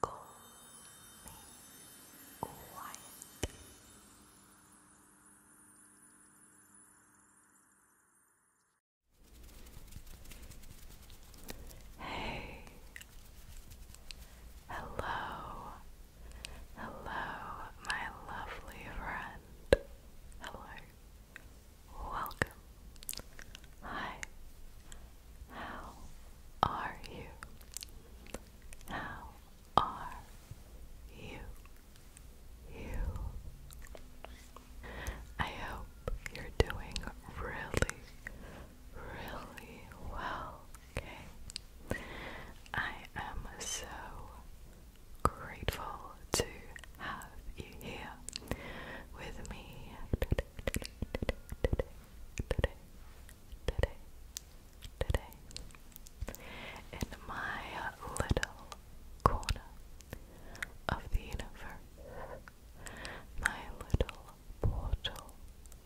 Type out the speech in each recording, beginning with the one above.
Call Hey, hello, hello, my lovely friend. Hello, welcome. Hi, how are you? How are you? You. I hope you're doing really, really well, okay? I am so grateful to have you here with me today, today, today, in my little corner of the universe, my little portal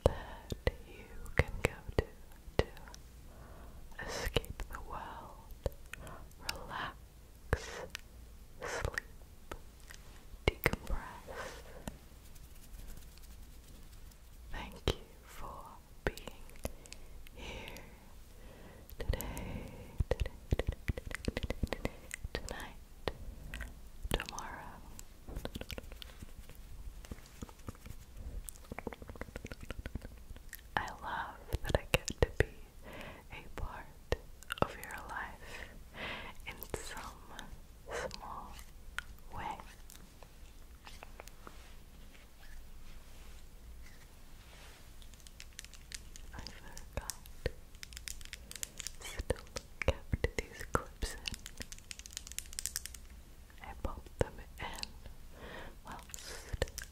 that you can go to to escape the world, relax, sleep, decompress. Thank you for being here today, tonight, tomorrow. I love that I get to be a part of your life in some small way. I forgot. Still kept these clips in. I popped them in whilst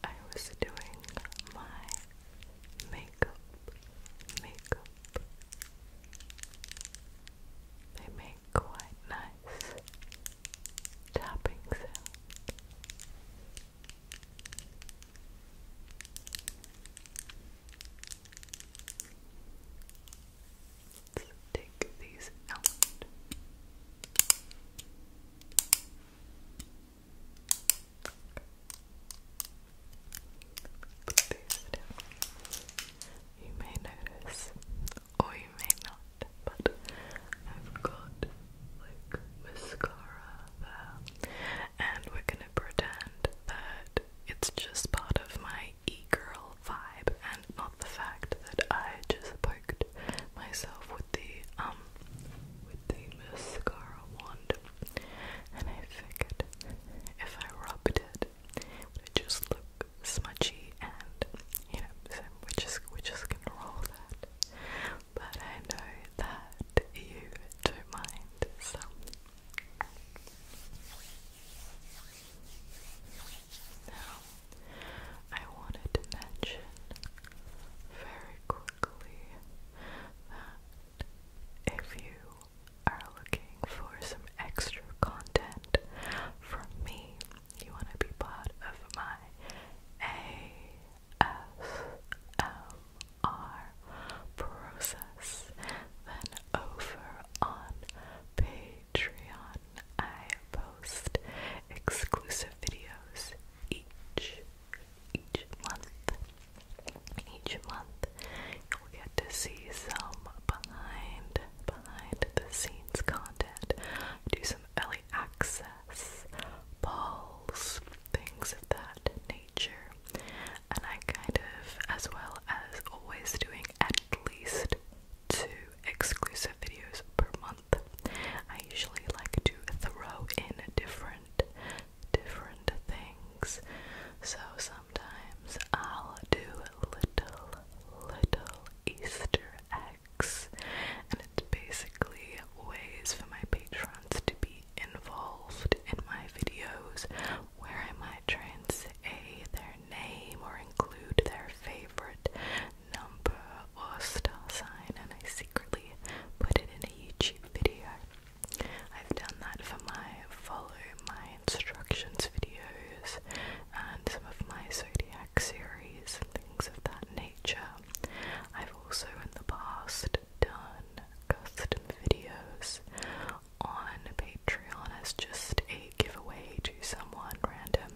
I was doing my makeup, makeup, they make quite nice tapping sound. take these out. Put You may notice, or you may not, but I've got like mascara there, and we're gonna pretend that it's just part of my e-girl vibe and not the fact that I just poked myself with the um with the mascara wand and I figured if I rubbed it, it would just look smudgy and, you know, we're just, we're just gonna roll that. But I know that you don't mind, so... Now, I wanted to mention very quickly that if you are looking for some extra content from me, you want to be part of my ASMR process, then over on Patreon, I post exclusive videos each each month each month you'll get to see some behind behind the scenes content. Do some early access, balls, things of that nature. And I kind of, as well as always doing at least two exclusive videos per month. I usually like to throw in different different things. So some sometimes I'll do little, little Easter eggs, and it's basically ways for my patrons to be involved in my videos where I might try say their name or include their favorite number or star sign, and I secretly put it in a YouTube video. I've done that for my follow my instructions videos and some of my zodiac series things of that nature. I've also in the past done custom videos on Patreon as just a giveaway to someone random.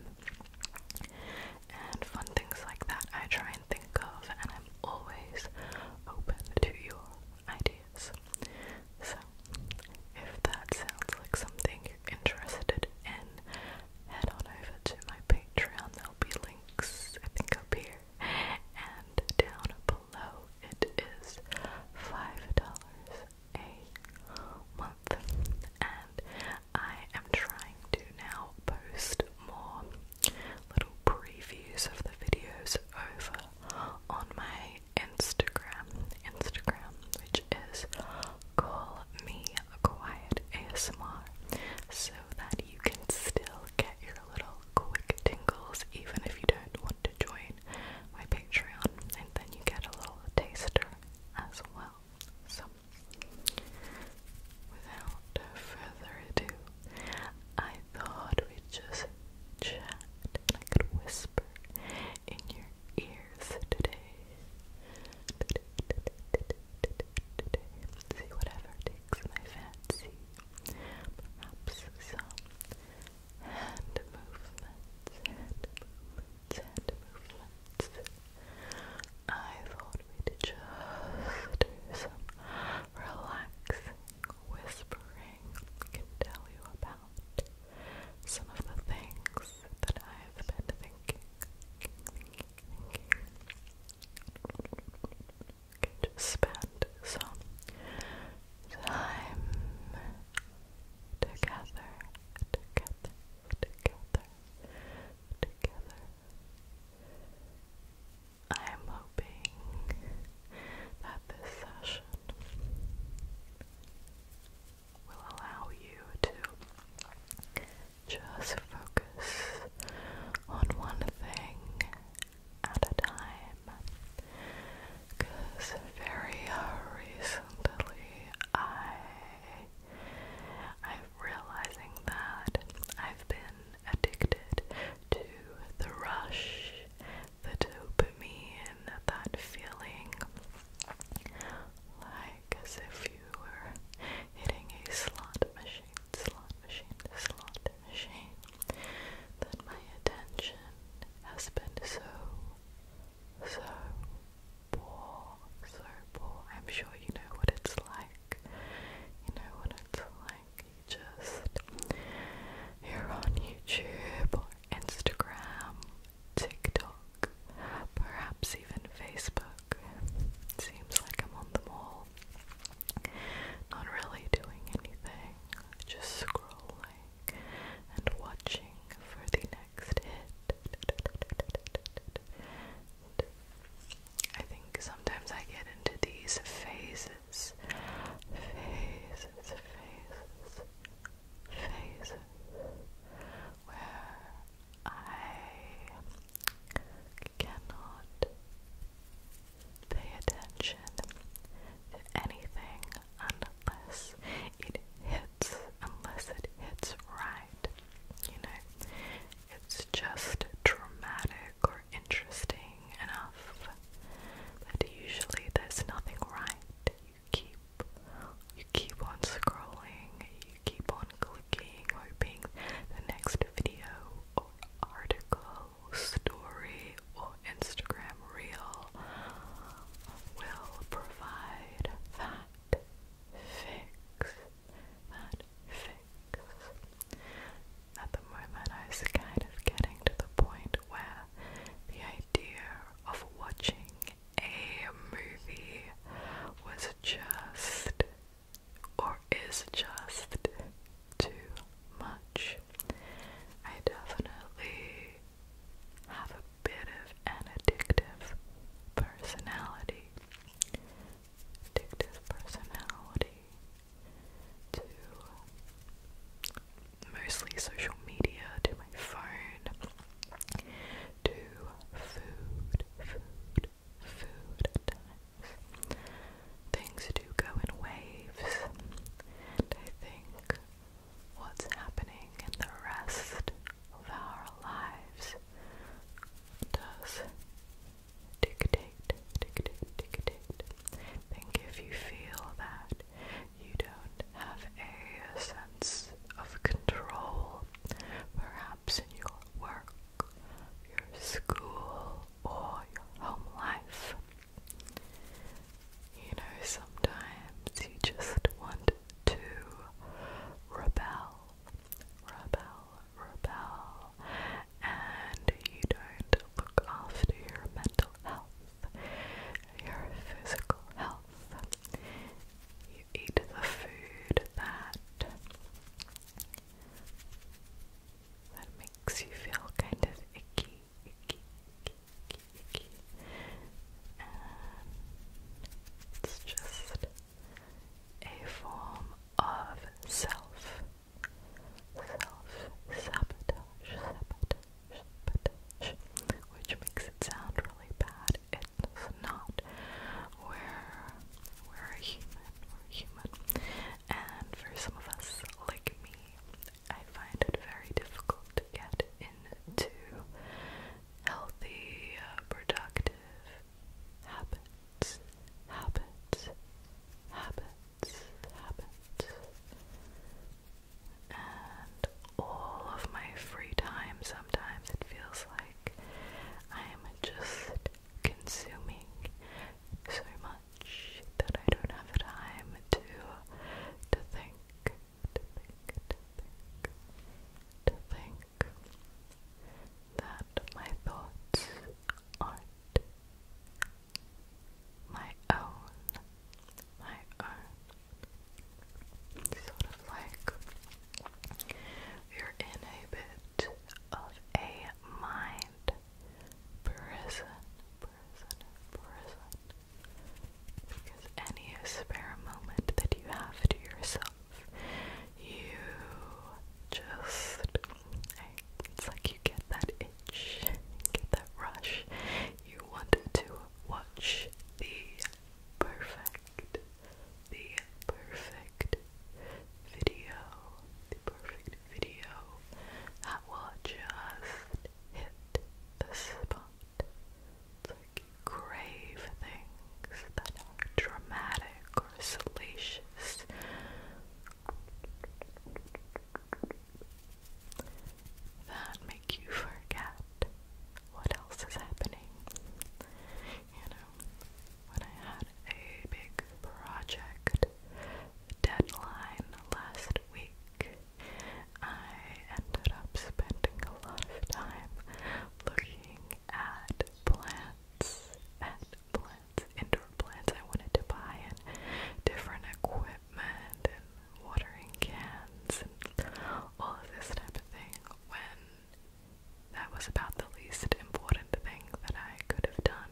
And fun things like that I try and think of, and I'm always open to your ideas. So, if that sounds like something you're interested in, head on over to my Patreon. There'll be links, I think, up here and down below. It is $5 a month, and I am trying to now post more little previews of the videos over on my Instagram, Instagram, which is call me a quiet ASMR, so that you can still get your little quick tingles even if you don't want to join my Patreon, and then you get a little taster as well. So, without further ado, I thought we'd just chat and I could whisper in your ears today. See whatever takes my fancy. Perhaps some hand movements, hand movements. I thought we'd just do some relaxing, whispering can tell you about some of the things that I've been thinking. Thinking, Can just spend some time together, together, together, together. I'm hoping that this session will allow you to just focus on one thing at a time. Because very recently I I'm realizing that I've been addicted to the rush the dopamine, that feeling like as if you were hitting a slot machine, slot machine, slot machine, that my attention has been so, so poor, so poor. I'm sure you know what it's like. You know what it's like just you on YouTube or Instagram, TikTok, perhaps even Facebook. seems like I'm on them all. Not really doing anything, just scrolling and watching for the next hit. I think sometimes I get into these phases faces, faces, faces, where I cannot pay attention to anything unless it hits, unless it hits right. You know, it's just dramatic interesting enough that usually there's nothing right. You keep you keep on scrolling, you keep on clicking, hoping the next video or article, story or Instagram reel will provide that fix. That fix. At the moment, I was kind of getting to the point where the idea of watching a movie was just or is just too much. I definitely have a bit of an addictive personality. Addictive personality to mostly social media, to my phone, to food, food, food Things do go in waves, and I think what's happening in the rest of our lives does dictate, dictate, dictate. Think if you feel that you don't have a sense of control, perhaps in your work, your school, or your home life. You know, sometimes you just want to rebel, rebel, rebel, and you don't look after your mental health, your physical health. You eat the food that that makes you feel kind of icky, icky, icky, icky, and it's just a form of self self-sabotage, sabotage, sabotage, which makes it sound really bad. It's not. We're, we're human, we're human. And for some of us, like me, I find it very difficult to get into healthy, productive habits, habits, habits habits. And all of my free time, sometimes it feels like I'm just consuming so much that I don't have time to to think, to think, that my thoughts are my own, my own. Sort of like you're in a bit of a mind prison, prison, prison. Because any spare moment that you have to yourself, you just it's like you get that itch, get that rush. You want to watch the perfect, the perfect video, the perfect video that will just hit the spot. like crave things that are dramatic or salacious that make you forget what else is happening. You know, when I had a big project deadline last week, I ended up spending a lot of time looking at plants, at plants plants, indoor plants I wanted to buy, and different equipment, and watering cans, and all of this type of thing. When that was about the least important thing that I could have done,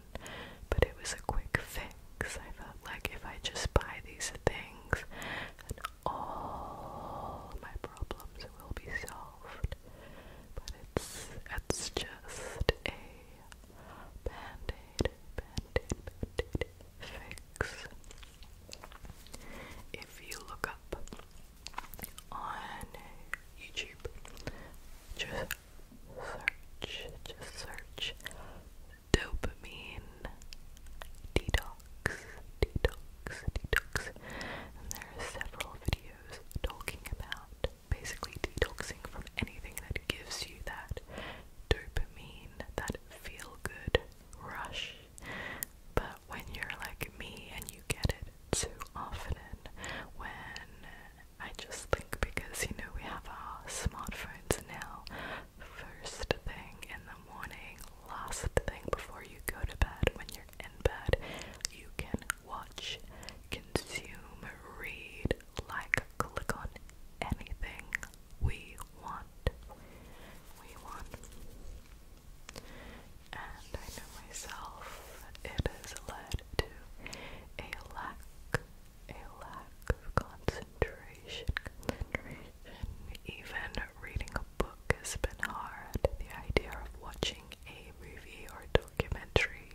but it was a quick fix. I felt like if I just buy these things, then all my problems will be solved. But it's it's just a Band-Aid, Band-Aid, Band-Aid, Fix. If you look up on YouTube, just search, just search dopamine detox, detox, detox. And there are several videos talking about basically detoxing from anything that gives you that dopamine, that feel good rush. But when you're like me and you get it too often, when I just think because you know we have our smartphones now, first thing in the morning, last thing before you go to bed, when you're in bed, you can watch, consume, read, like, click on anything we want. We want. And I know myself, it has led to a lack, a lack of concentration, concentration. Even reading a book has been hard. The idea of watching a movie or documentary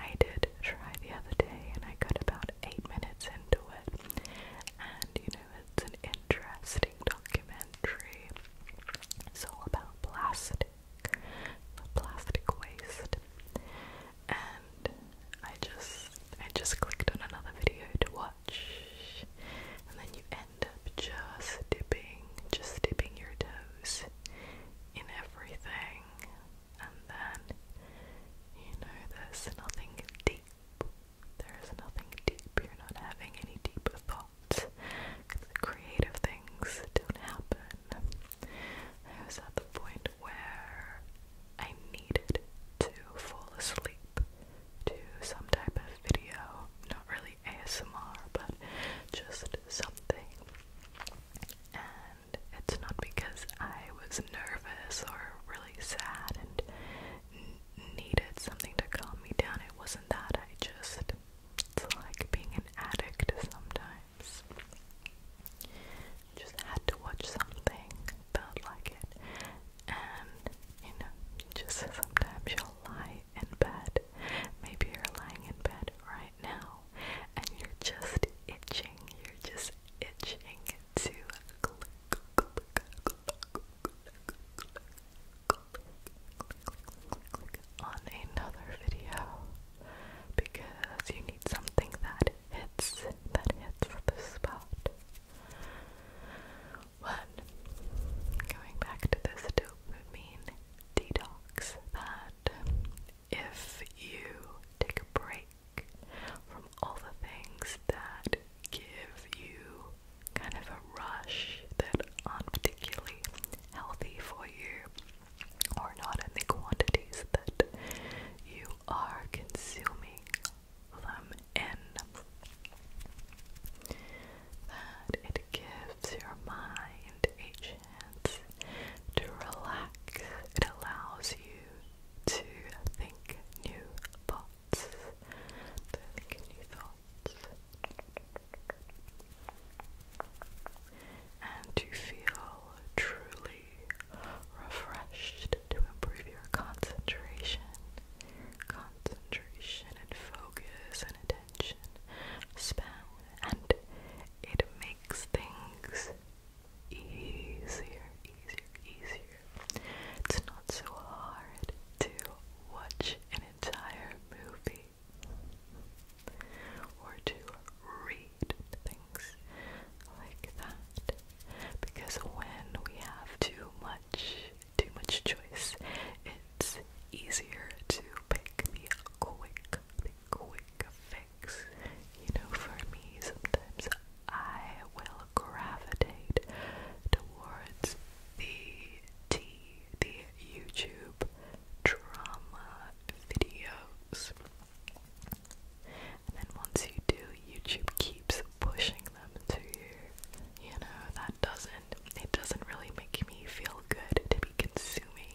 I did try the other day and I got about 8 minutes into it and you know it's an interesting documentary it's all about plastic plastic waste and I just I just clicked on another video to watch and then you end up just dipping just dipping your toes in everything and then you know there's nothing deep. There is nothing deep. You're not having any deeper thoughts. The creative things don't happen. I was at the point where I needed to fall asleep to some type of video, not really ASMR, but just something and it's not because I was nervous or really sad and needed something to calm me down. It wasn't that. I just. It's like being an addict sometimes. Just had to watch something, felt like it. And, you know, just sometimes you lie in bed. Maybe you're lying in bed right now and you're just itching, you're just itching to click, click, click, click, click, click, click on another video because you need something that hits, that hits the spot. One, going back to this dopamine detox that if you take a break from all the things that give you kind of a rush that aren't particularly healthy for you or not in the quantities that you are consuming them in, that it gives your mind a to relax. It allows you to think new thoughts. To think new thoughts. And to feel truly refreshed to improve your concentration. Concentration and focus and attention Spell and it makes things easier, easier, easier. It's not so hard to watch an entire movie or to read things like that because when we have too much, too much choice, it's easier to pick the quick the quick fix. You know, for me, sometimes I will gravitate towards the tea, the YouTube drama videos. And then once you do, YouTube keeps pushing them to you. You know, that doesn't, it doesn't really make me feel good to be consuming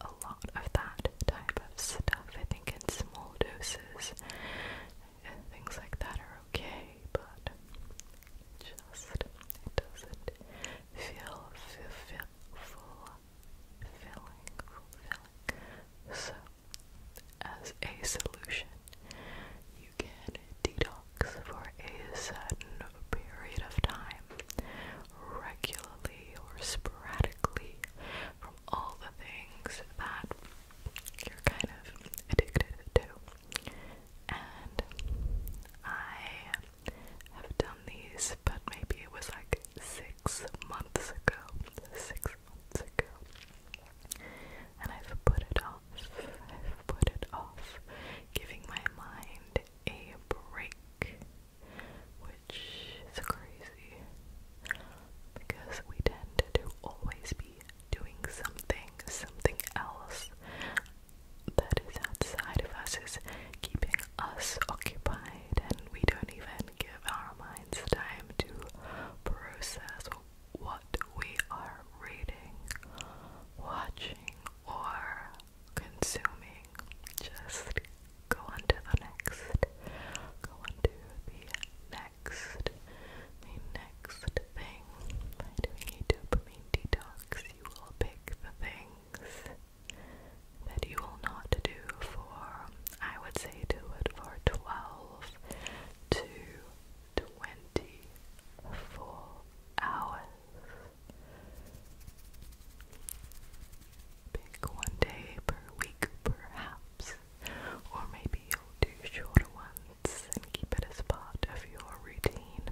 a lot of that type of stuff. I think in small doses, things like that are okay, but just it doesn't feel fulfilling. So, as a solution, you can detox for a certain period of time regularly or sporadically from all the things that you're kind of addicted to. And I have done these, but maybe it was like six months ago. Six months ago. And I've put it off. I've put it off, giving my mind a break, which is crazy because we tend to always be doing something, something else that is outside of us is keeping us occupied, and we don't even give our minds time to process what we are reading, watching, or consuming. Just go on to the next. Go on the next. next thing. By doing dopamine detox, you will pick the things that you will not do for, I would say, do it for 12 to 24 hours. Pick one day per week, perhaps, or maybe you'll do shorter ones and keep it as part of your routine.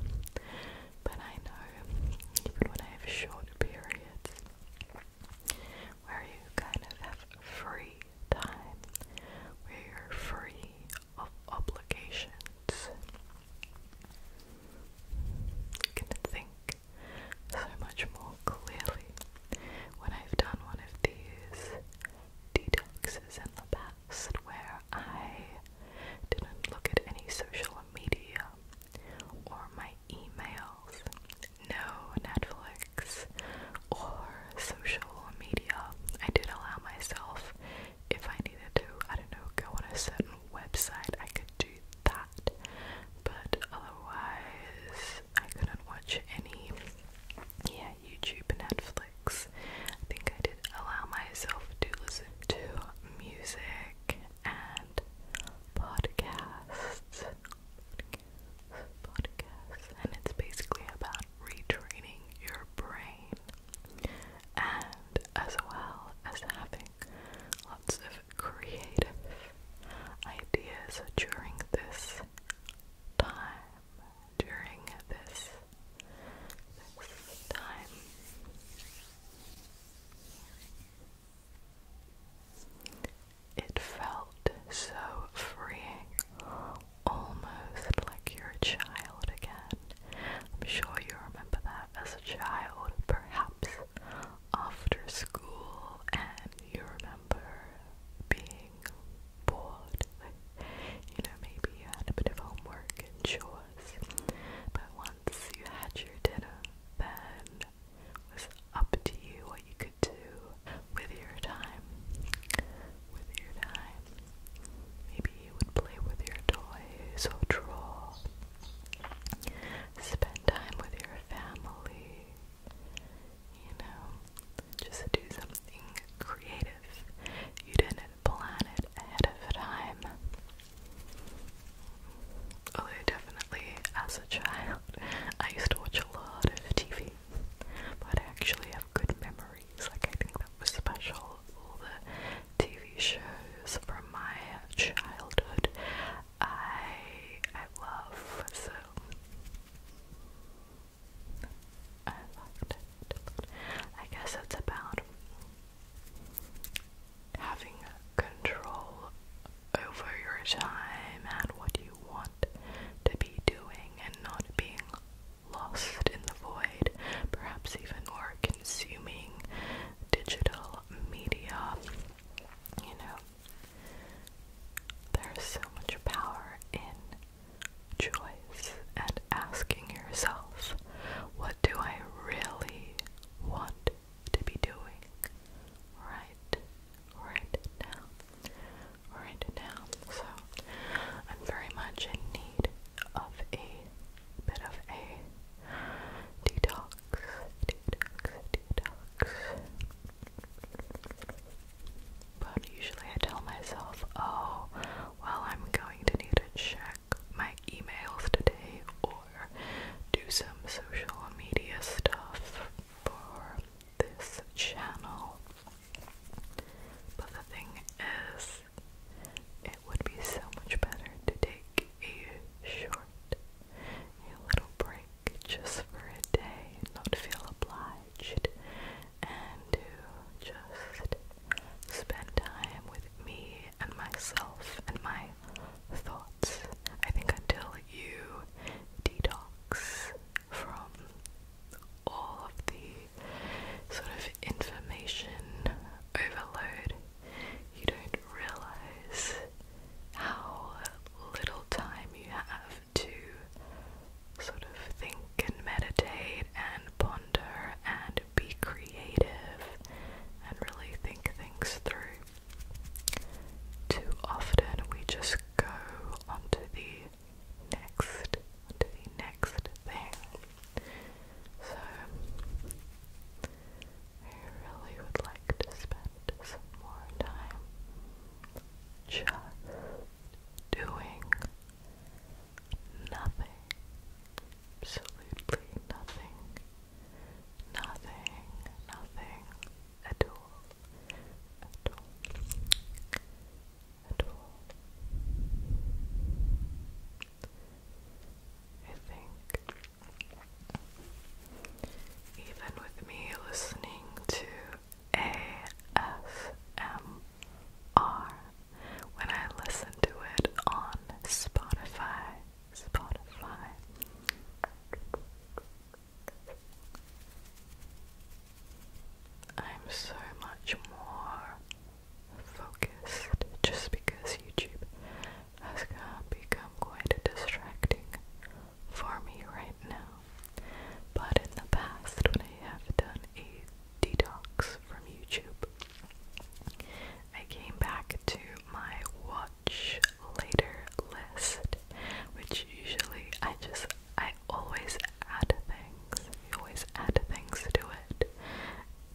But I know, even when I have short periods where you kind of have free time, where you're free of obligations, can think so much more clearly when I've done one of these detoxes in the past where I didn't look at any social media or my emails, no Netflix or social media. I did allow myself if I needed to, I don't know, go on a certain website, I could do that. But otherwise, I couldn't watch any, yeah, YouTube, Netflix. I think I did allow myself to listen to music and podcasts. Podcasts, And it's basically about retraining your brain and as well as having Lots of creative ideas during this time. During this time. It felt so freeing, almost like you're a child again. I'm sure you remember that as a child, perhaps after school, and you remember being bored. You know, maybe you had a bit of homework and chores, but once you had your dinner, then it was up to you what you could do with your time. With your time. Maybe you and play with your toys overall. Spend time with your family. You know, just do something creative. You didn't plan it ahead of time. Although definitely, as a child, I used to watch a lot of TV, but I actually have good memories. Like I think that was special. All the TV shows from my childhood. I I love so I guess it's about having control over your time and what you want to be doing and not being lost in the void, perhaps even more consuming digital media. You know, there's so much power in choice and asking yourself, what do I really want to be doing right right now? Right now. So I'm very much in need of a bit of a detox, detox, detox. But usually I tell myself, oh, well, I'm going to need to check my emails today or do some social media stuff for this channel. But the thing is, it would be so much better to take a short, a little break just for a day, not feel obliged, and to just spend time with me and myself and my thoughts. I think until you detox from all of the sort of information overload you don't realize how little time you have to sort of think and meditate and ponder and be creative and really think things through. Too often we just go onto the next, the next thing. So, I really would like to spend some more time just doing nothing. Absolutely nothing. Nothing, nothing at all. At all. At all. I think. Even with me listening to ASMR, when I listen to it on Spotify, Spotify, I'm so much more focused just because YouTube has become quite a distracting for me right now. But in the past, when I have done a detox from YouTube, I came back to my watch later list, which usually I just, I always add things. I always add things to it.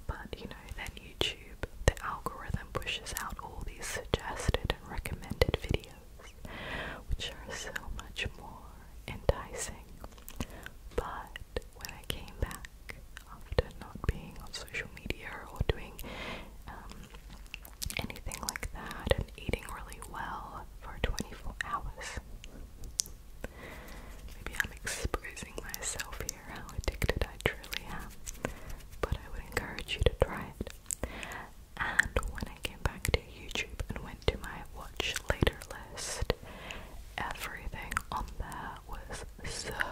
But you know, then YouTube, the algorithm pushes out all these suggested and recommended videos, which are so much more enticing. But when I came back after not being on social media or doing um, anything like that and eating really well for 24 hours, Maybe I'm exposing myself here, how addicted I truly am. But I would encourage you to try it. And when I came back to YouTube and went to my watch later list, everything on there was so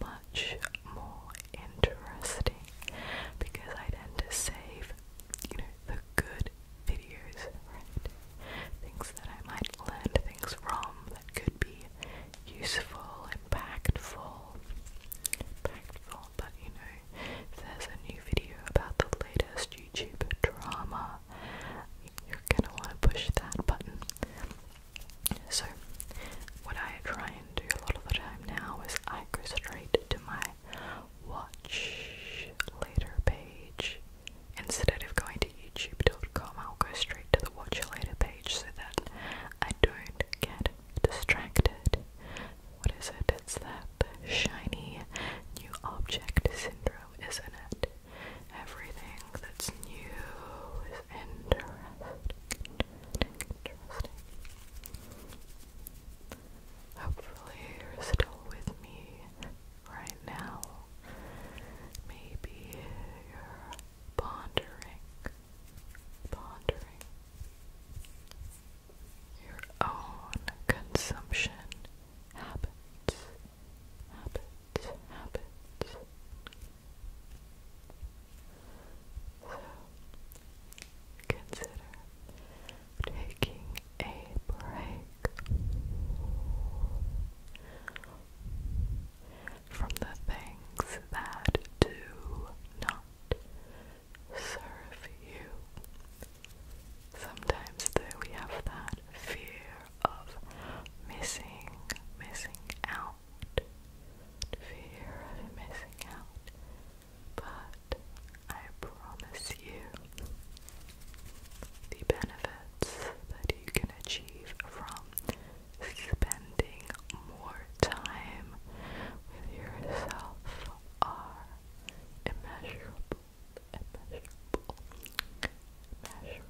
much more interesting because I tend to save, you know, the good videos, right? Things that I might learn things from that could be useful, impactful, impactful, but you know, there's a new video about the latest YouTube drama, you're gonna want to push that button. So, what I try and do a lot of the time now is I go straight to my watch later page Instead of going to youtube.com, I'll go straight to the watch later page so that I don't get distracted. What is it? It's that shiny new object syndrome, isn't it? Everything that's new is interesting. interesting. Hopefully, you're still with me right now. Maybe you're pondering, pondering your own consumption habits, habits, habits. So, consider taking a break from the things that do not serve you. Sometimes though we have that fear of missing, missing out. Fear of missing out. But I promise you the benefits that you can achieve from spending more time with yourself are immeasurable, Think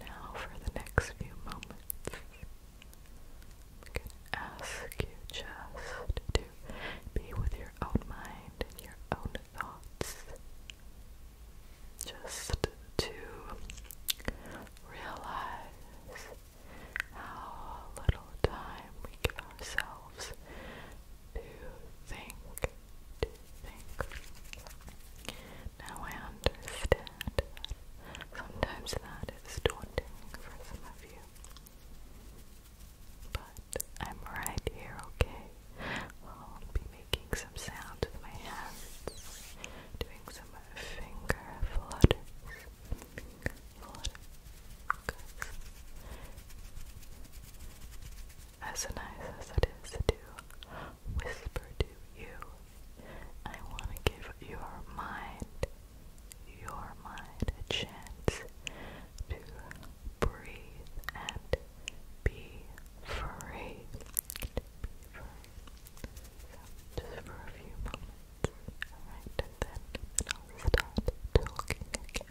now for the next few moments. ask you just to be with own mind your own thoughts. Just to realize how little time we give ourselves to think, to think. Now I understand sometimes that is daunting for some of you. But I'm right here, okay? I'll be making some sound with my hands, doing some finger flutters. Flutter. Good. As nice as it is do whisper to you, I want to give your mind your mind a chance to breathe and be free. just for a few moments. Alright, and then, then will start talking again.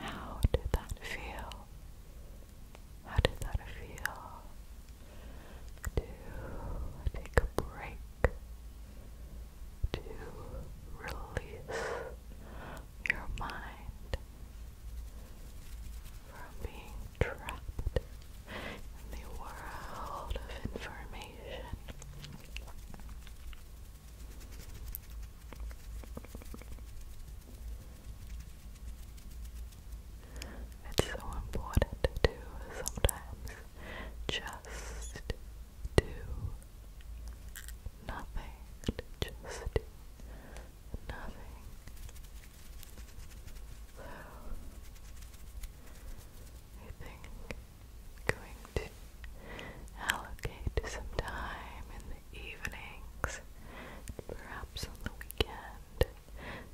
How did that feel? How did that feel? To take a break, to release your mind from being trapped in the world of information. It's so important to sometimes just do nothing, just nothing. So, I think going to allocate some time in the evenings, perhaps on the weekend,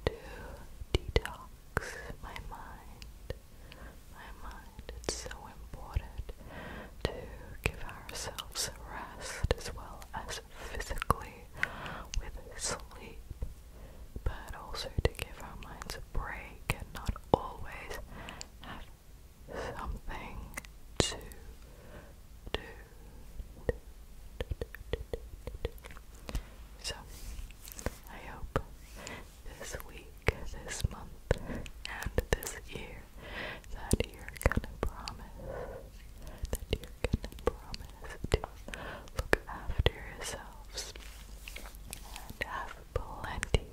to detox my mind. My mind, it's so important to give ourselves rest as well as physically with sleep, but also to give our minds a break and not always have something to do. So, I hope this week, this month, and this year that you're gonna promise, that you're gonna promise to look after yourselves and have plenty,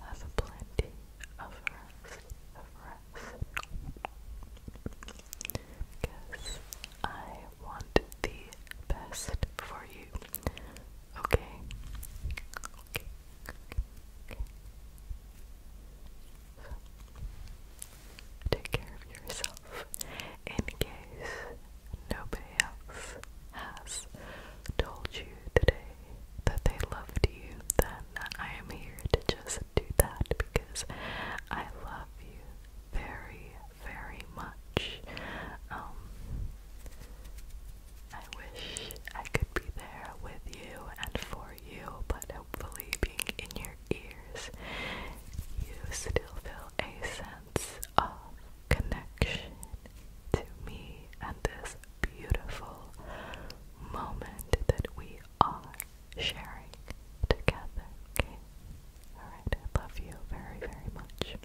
have plenty of rest, of rest. Because I want the best for you. Okay? Okay. take care of yourself in case nobody else has told you today that they loved you, then I am here to just do that because I love you very, very much. Um I wish I could be there with you and for you, but hopefully, being in your ears, you still feel a sense of connection to me and this beautiful moment that we are sharing together. Okay? Alright, I love you very, very much.